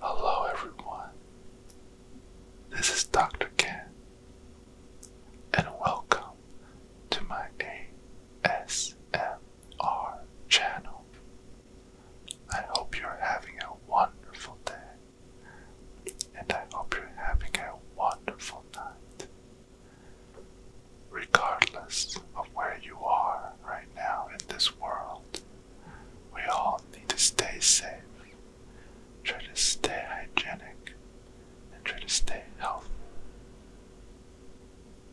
Hello, everyone. This is Dr. Ken, and welcome to my ASMR channel. I hope you're having a wonderful day, and I hope you're having a wonderful night. Regardless of where you are right now in this world, we all need to stay safe, try to stay hygienic, and try to stay healthy.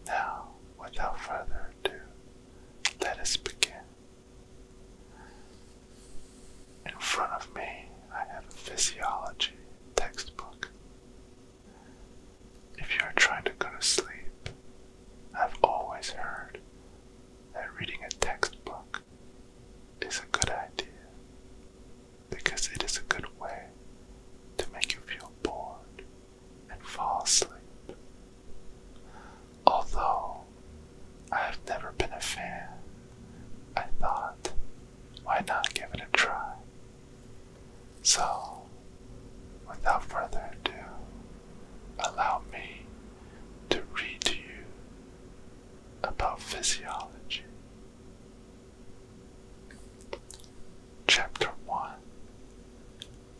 Now, without further ado, let us begin. In front of me I have a physiology textbook. If you are trying to go to sleep, I've always heard that reading a textbook is a good idea because it is a good way to make you feel bored and fall asleep. Although I have never been a fan, I thought why not give it a try? So, without further ado, allow me to read to you about physiology. Chapter 1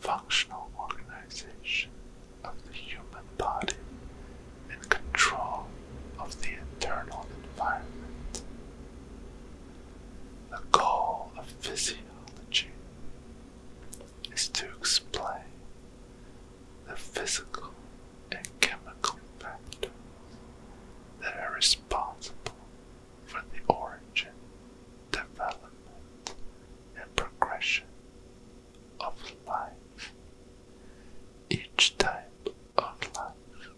Functional Organization of the Human Body in control of the internal environment. The goal of physiology is to explain the physical and chemical factors that are responsible for the origin, development, and progression of life. Each type own life,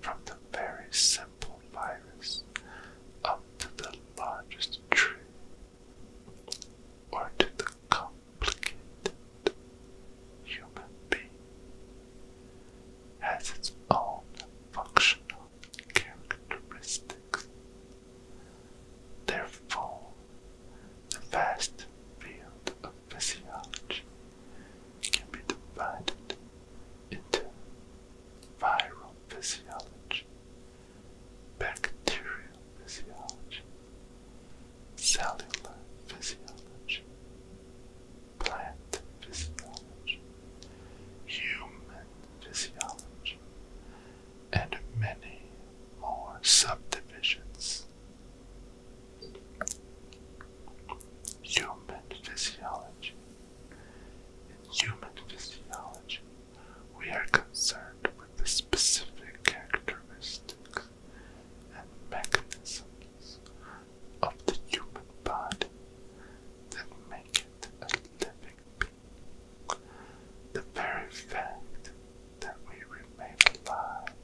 from the very simple virus up to the largest tree, or to the complicated human being, has its own functional characteristics. Therefore, the vast field of physiology can be divided into viral physiology, bacterial physiology, cellular physiology, plant physiology, human physiology, and many more subdivisions. Human physiology. In human physiology, we are concerned with the specific characteristics and mechanisms of the human body that make it a living being. The very fact that we remain alive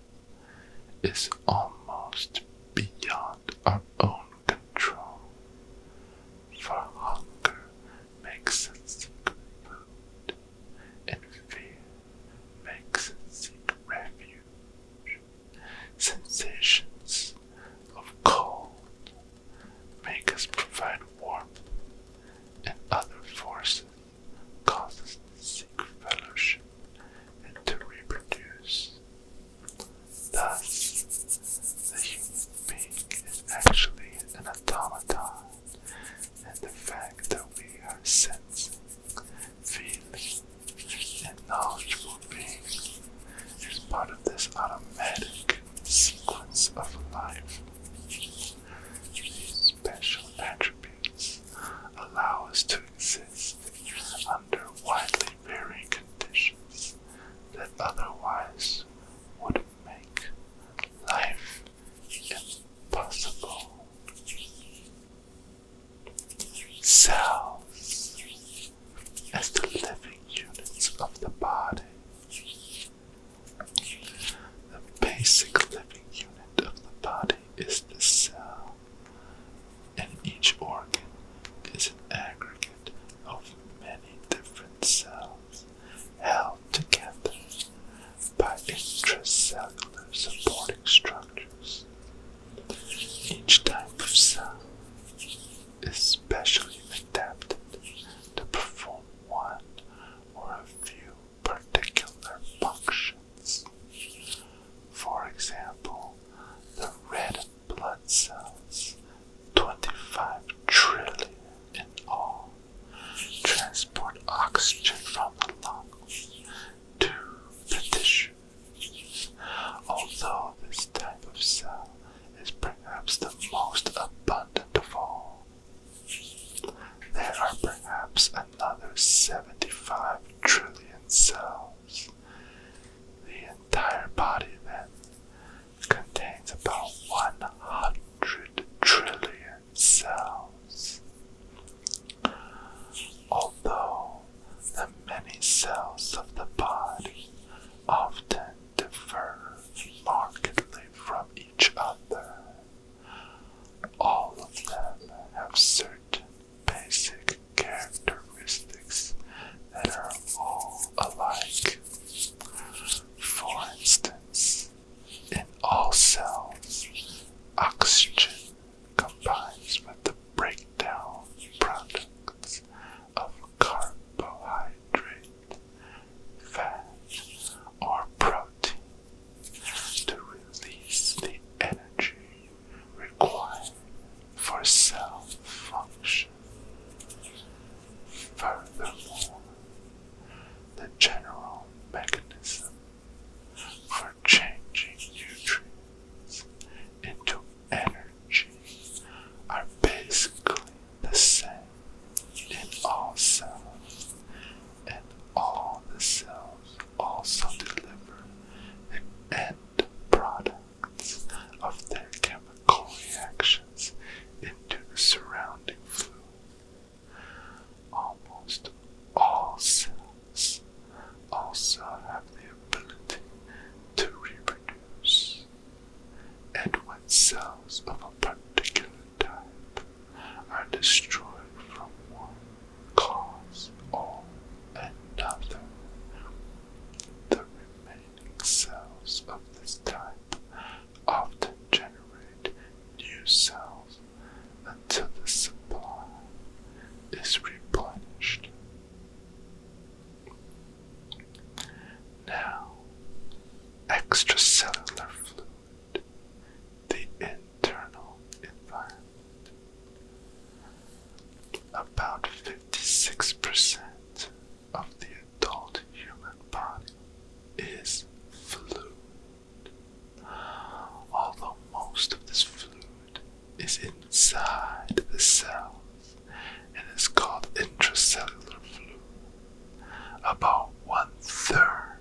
is almost beyond our own control, for hunger makes us seek food, and fear makes us seek refuge. Sensations of cold make us provide warmth, and other forces causes seek fellowship and to reproduce. Thus, the human being is actually an automaton, and the fact that we are sensing, feeling, and knowledgeable beings is part of this automatic sequence of life. These special attributes allow us to exist under widely varying conditions that otherwise would make life impossible. Cells, as the living units of the body, the basic living unit of the body is the cell, and each organ is an aggregate of many different cells held together by intracellular supporting structures. Each type of cell is specially adapted to perform one or a few particular functions. For example, the red blood cells, 25 trillion in all, transport oxygen from the lungs to the tissues. Although this type of cell is perhaps the most abundant of all, there are perhaps another 75 trillion cells. The entire body, then, contains about 100 trillion cells. Although the many cells of the body often differ markedly from each other. All of them have certain basic characteristics that are all alike. For instance, in all cells, oxygen combines with the breakdown products of carbohydrates fat, or protein to release the energy required for cell function. Furthermore, the general mechanism for changing nutrients into energy are basically the same in all cells, and all the cells also deliver the end products of their chemical reactions into the surrounding fluid. Almost all cells also have the ability to reproduce and when cells of a particular type are destroyed from one cause or another. The remaining cells of this type often generate new cells until the supply is replenished. Now, extracellular fluid, the internal environment. About 56% of the adult human body is fluid. Although most of this fluid is inside the cell, and it's called intracellular fluid. About one third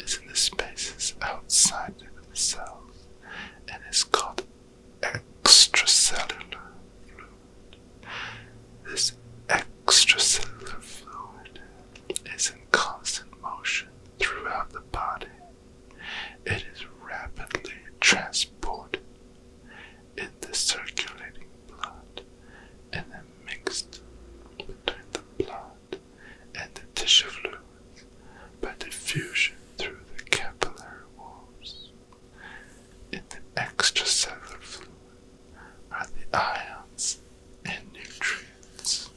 is in the spaces outside of the cells and it's called extracellular fluid. This extracellular fluid is in constant motion throughout the body. It is rapidly transported in the circulating blood and then mixed between the blood and the tissue fluids by diffusion through the capillary walls. In the extracellular fluid are the ions and nutrients.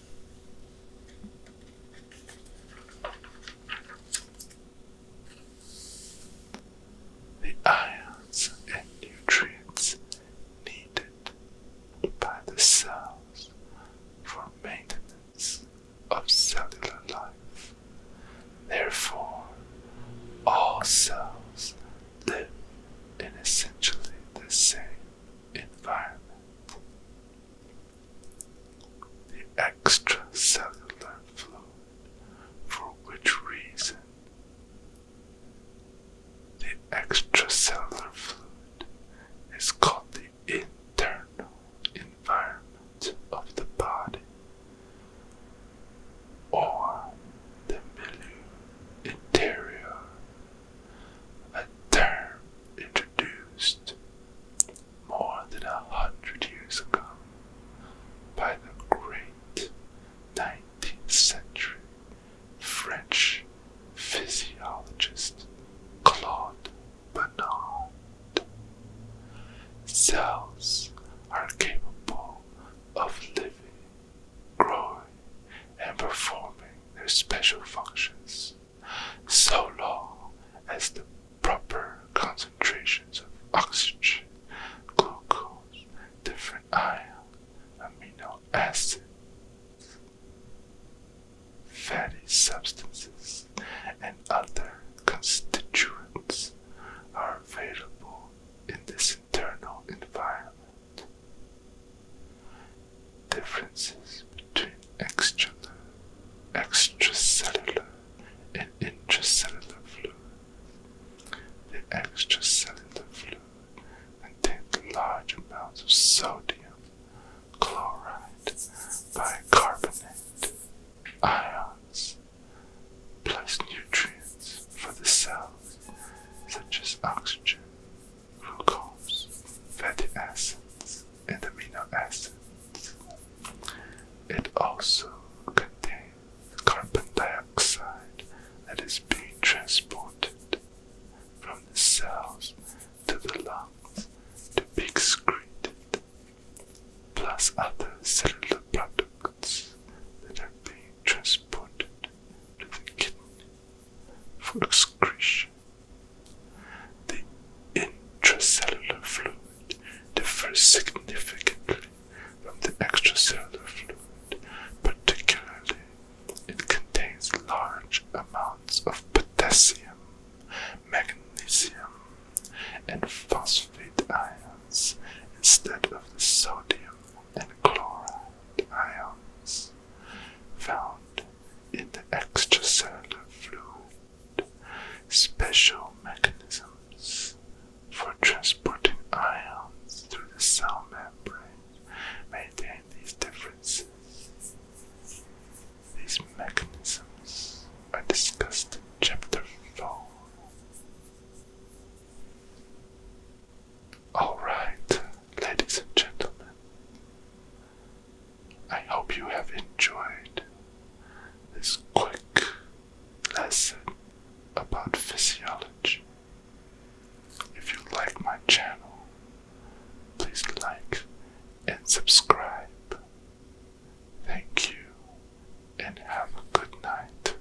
The ions and nutrients needed by the cells for maintenance of cellular life. Therefore, all cells live in essentially the same environment. The extracellular fluid for which reason the extracellular fluid is called the internal environment of the body or the milieu interior, a term introduced more than a hundred years ago by the great 19th century French physiologist Claude Bernard. Cells are capable of living, growing, and performing their special functions so long as the proper concentrations of oxygen, glucose, different ions, amino acids, fatty substances, and other constituents are available in this internal environment. Differences between extracellular, extracellular and intracellular fluid. The extracellular fluid contains large amounts of sodium, chloride, bicarbonate, ions, plus nutrients for the cells such as oxygen, glucose, fatty acids, and amino acids. It also contains carbon dioxide that is being transported from the cells to the lungs to be excreted, plus other cellular products that are being transported to the kidney for excretion. The intracellular fluid differs significantly from the extracellular fluid, particularly it contains large amounts of potassium, magnesium, and phosphate ions instead of the sodium and chloride ions found in the extracellular fluid special mechanisms for transporting ions through the cell membrane maintain these differences. These mechanisms are discussed in Chapter 4. Alright, ladies and gentlemen, I hope you have enjoyed this quick lesson about physiology. If you like my channel, please like and subscribe. Thank you and have a good night.